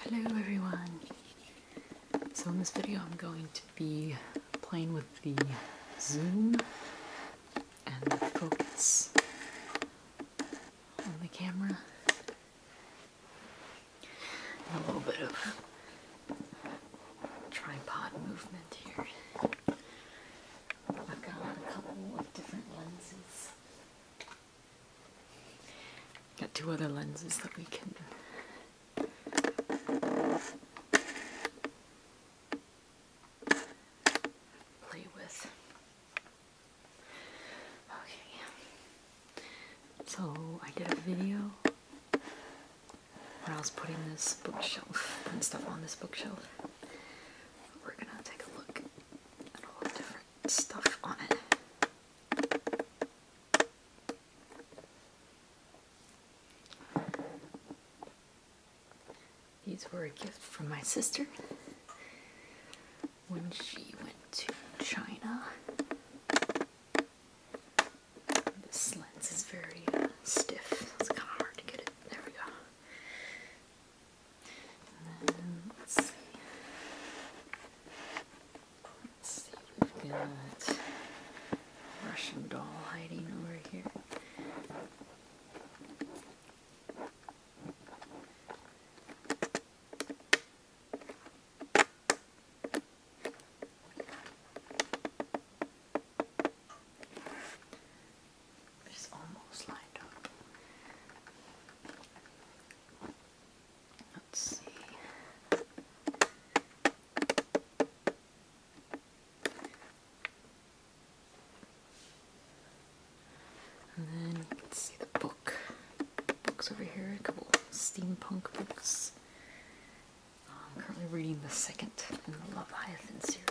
Hello everyone! So in this video I'm going to be playing with the zoom and the focus on the camera a little bit of tripod movement here. I've got a couple of different lenses. Got two other lenses that we can play with. Okay. So I did a video when I was putting this bookshelf and stuff on this bookshelf. We're gonna take a look at all the different stuff on it. These were a gift from my sister when she went to China. This lens is very uh, stiff, it's kind of hard to get it. There we go let's see. Let's see, we've got Russian doll hiding over here. It's almost lined up. Let's see. And then see the book. Books over here, a couple steampunk books. I'm currently reading the second in the Leviathan series.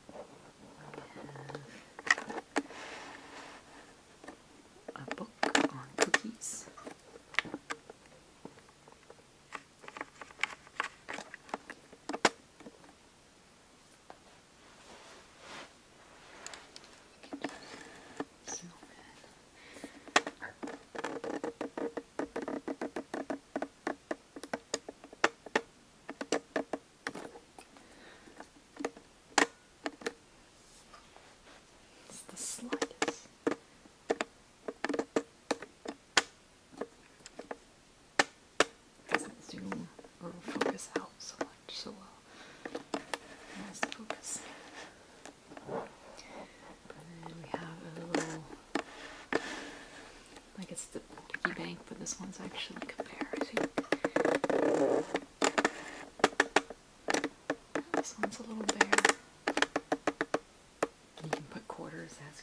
a book on cookies. It's the slightest. Doesn't zoom or focus out so much so well. Nice focus. And then we have a little like it's the piggy bank, but this one's actually a bear. This one's a little bear. You can put quarters as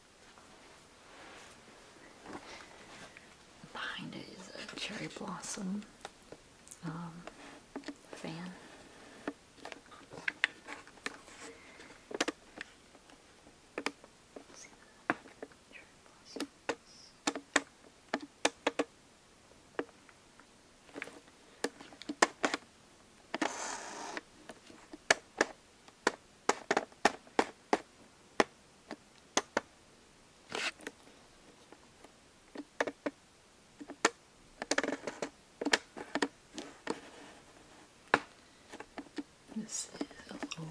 Behind it is a cherry blossom um, fan. This is a little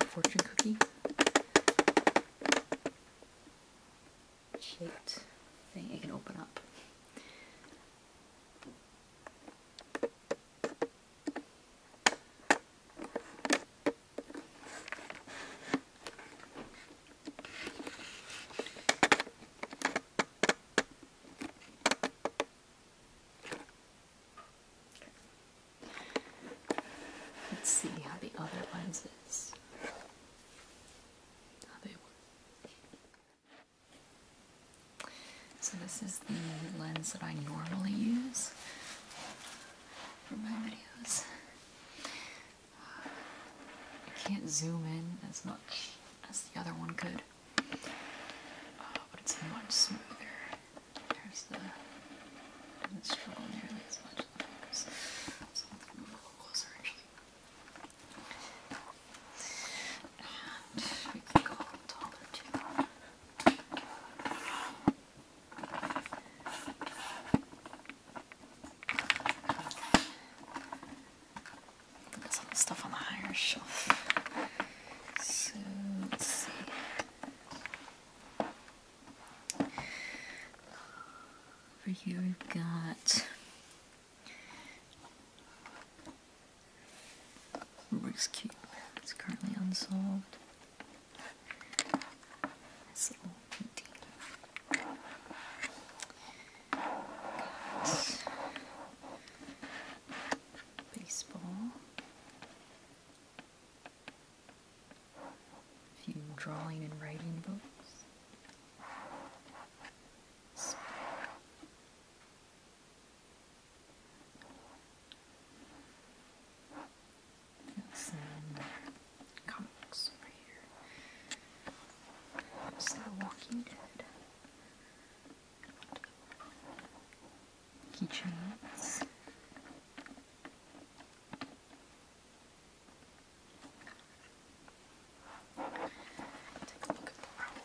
or fortune cookie shaped thing it can open up. Let's see how the other ones is. How they work. So this is the lens that I normally use for my videos. I can't zoom in as much as the other one could, uh, but it's much smoother. There's the doesn't nearly as much So I'm move closer actually. And we can go taller too. There's all stuff on the higher shelf. So let's see. Over here we've got Rubik's Cube. It's currently unsolved. Baseball. A few drawing and writing books. Got some comic books right here. So Walking Dead. Keychains. Take a look at the roll.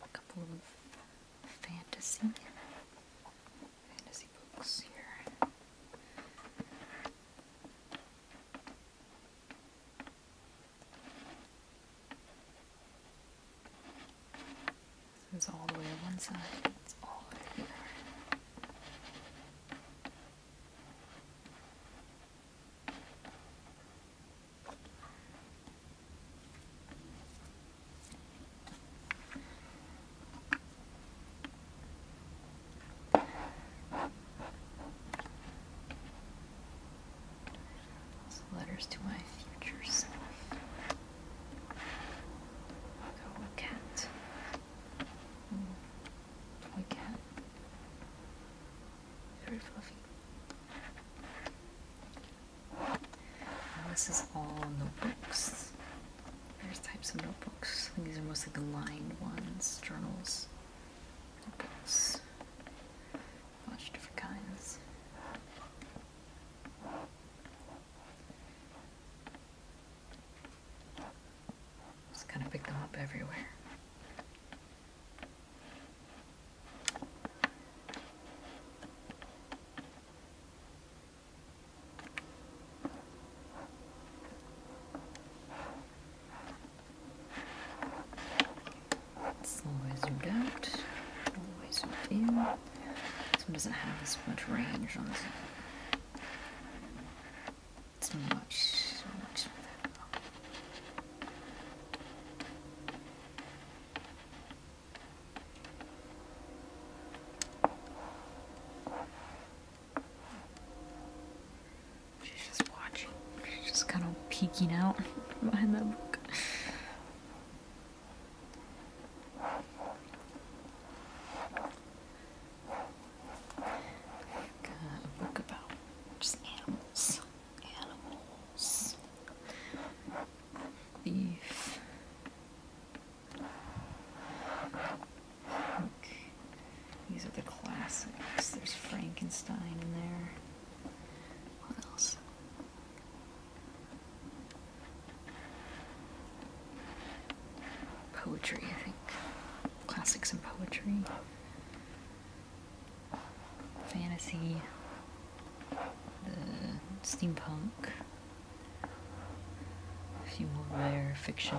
A couple of fantasy fantasy books here. This is all the way to one side, it's all the way letters to my future self. Go cat. Toy cat. Very fluffy. Now this is all notebooks. There's types of notebooks. These are mostly the lined ones, journals. Apples. A bunch of different kinds. Just kind of pick them up everywhere. It's always zoomed out, always zoomed in. This one doesn't have as much range on this one. It's much, much better. She's just watching. She's just kind of peeking out behind that book. Like a book about just animals. Animals. Beef. These are the classics. There's Frankenstein in there. What else? Poetry, I think. Classics and poetry. Fantasy. The steampunk. A few more rare fiction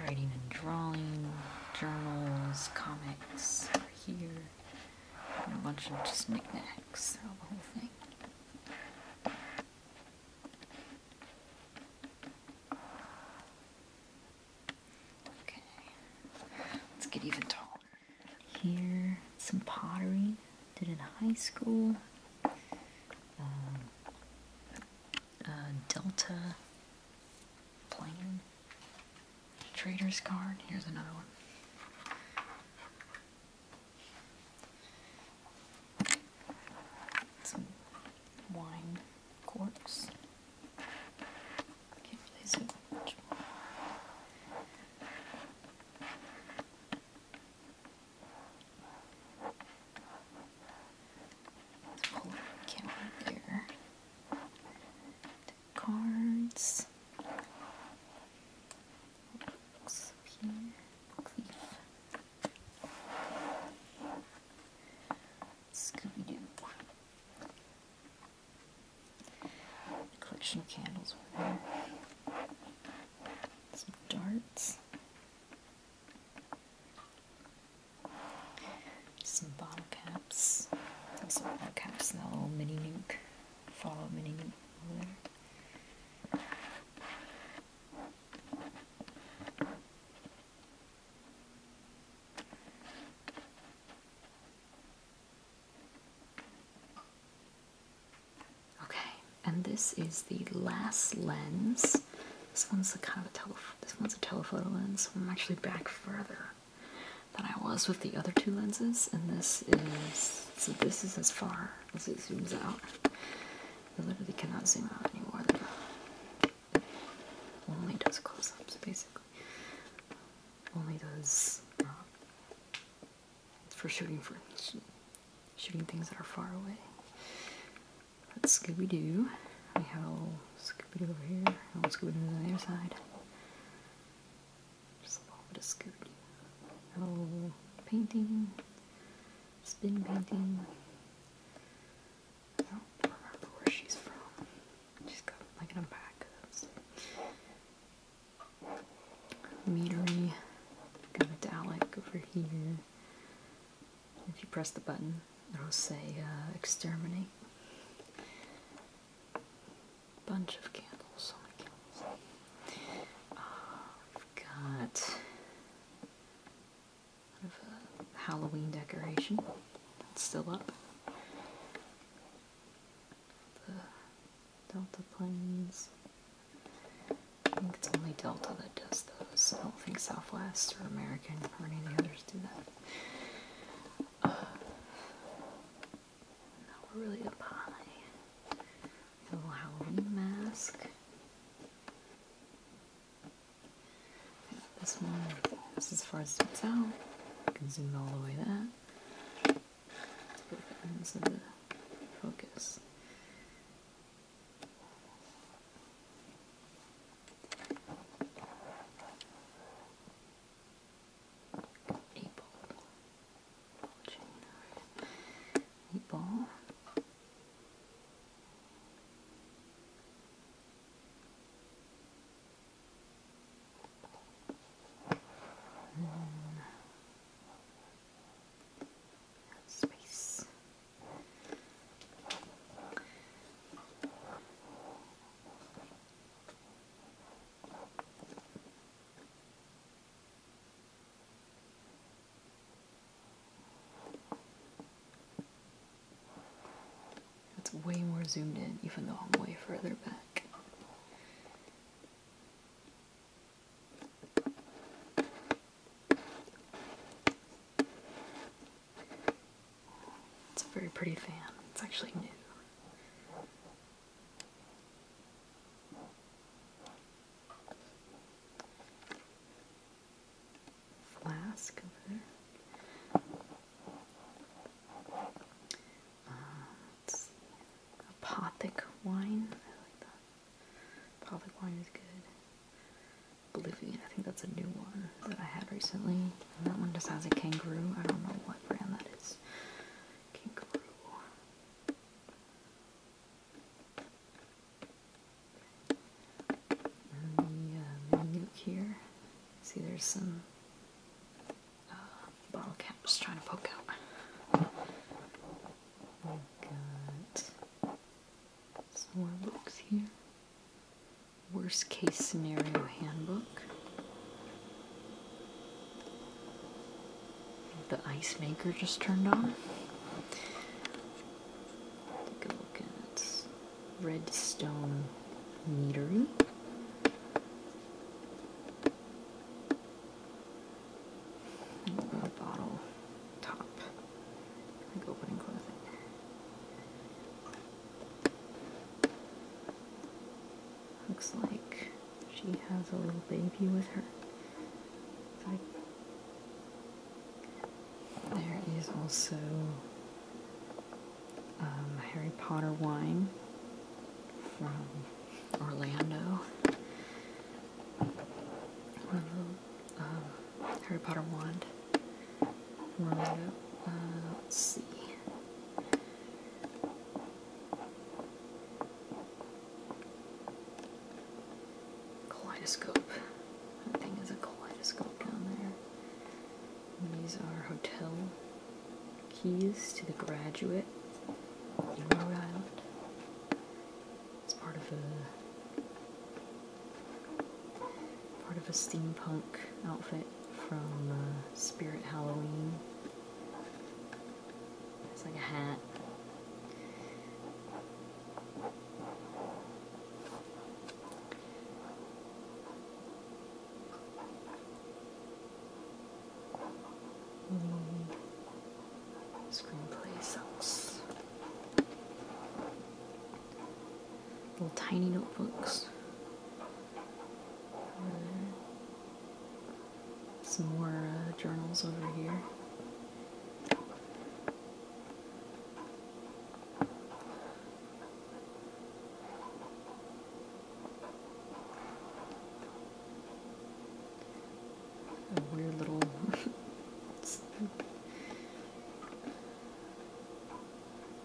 writing and drawing, journals, comics here, and a bunch of just knickknacks the whole thing. Okay, let's get even taller. Here, some pottery, did in high school. Um, uh, Delta plane trader's card. Here's another one. Some wine corks let camera cards. Books here. Scooby Doo. collection candles Some darts. Some bottle caps. Some bottle caps and that little mini nuke. Follow mini nuke Okay, and this is the last lens this one's a kind of a tele. This one's a telephoto lens. I'm actually back further than I was with the other two lenses, and this is so. This is as far as it zooms out. You literally cannot zoom out anymore than Only does close-ups, basically. Only does uh, for shooting for shooting things that are far away. That's Scooby Doo. We have a little Scooby Doo over here, a little Scooby Doo the other side. Just a little bit of Scooby painting, spin painting. I don't remember where she's from. she got like an back. Meadery. Got a Dalek over here. If you press the button, it'll say uh, exterminate. Bunch of candles, so many candles. Uh, we've got a Halloween decoration. It's still up. The Delta Planes. I think it's only Delta that does those. I don't think Southwest or American or any of the others do that. Uh, really up high. A Halloween mask. this one this as far as it's out. You can zoom all the way that. focus. Meatball. Meatball. Hmm. Space. It's way more zoomed in, even though I'm way further back. It's a very pretty fan. It's actually new. Flask uh, apothic wine. I like that. Apothic wine is good. Believe me, I think that's a new one that I had recently. that one just has a kangaroo. I don't know what brand that is. Kangaroo. the uh, here. See, there's some uh, bottle caps trying to poke out. We got more books here. Worst case scenario handbook. The ice maker just turned on. Take a look at Redstone Meadery. A bottle top. opening, closing. Looks like she has a little baby with her. there is also um, Harry Potter wine from Orlando. Um, Harry Potter wand. Uh, let's see. Kaleidoscope. That thing is a kaleidoscope down there. these are hotel keys to the graduate in Rhode Island. It's part of a part of a steampunk outfit from uh, Spirit Halloween. It's like a hat. Screenplay sucks. Little tiny notebooks. Hmm. Some more uh, journals over here a weird little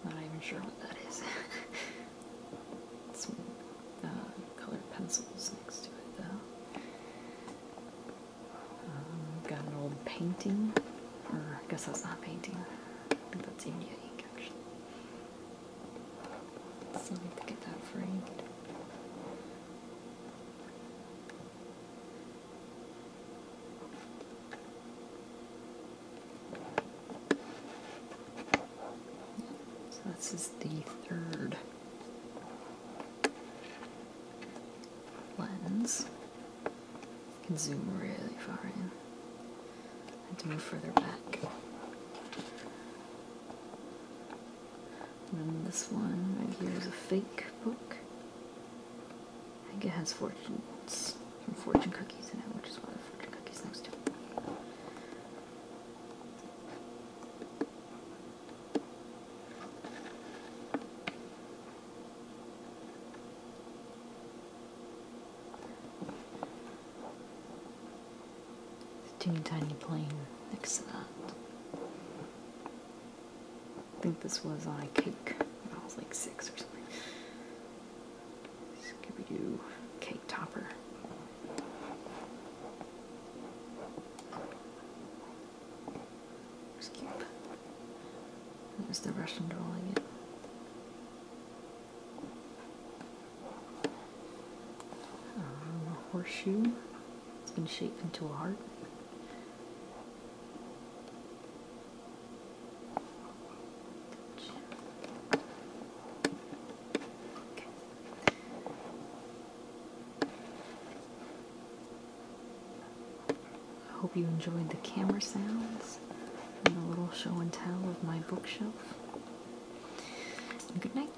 Not even sure what that is. Some uh, colored pencils next to it, though. Um, got an old painting, or I guess that's not painting. I think that's India ink, actually. Still need get that framed. So this is the third lens. You can zoom really far in. I have to move further back. And then this one right here is a fake book. I think it has fortunes from fortune cookies in it, which is why the fortune cookies next to it. Teeny tiny plane next to that. I think this was on a cake I was like six or something. Scooby Doo cake topper. It's cute. There's the Russian drawing it. Um, a horseshoe. It's been shaped into a heart. I hope you enjoyed the camera sounds and the little show and tell of my bookshelf. good night.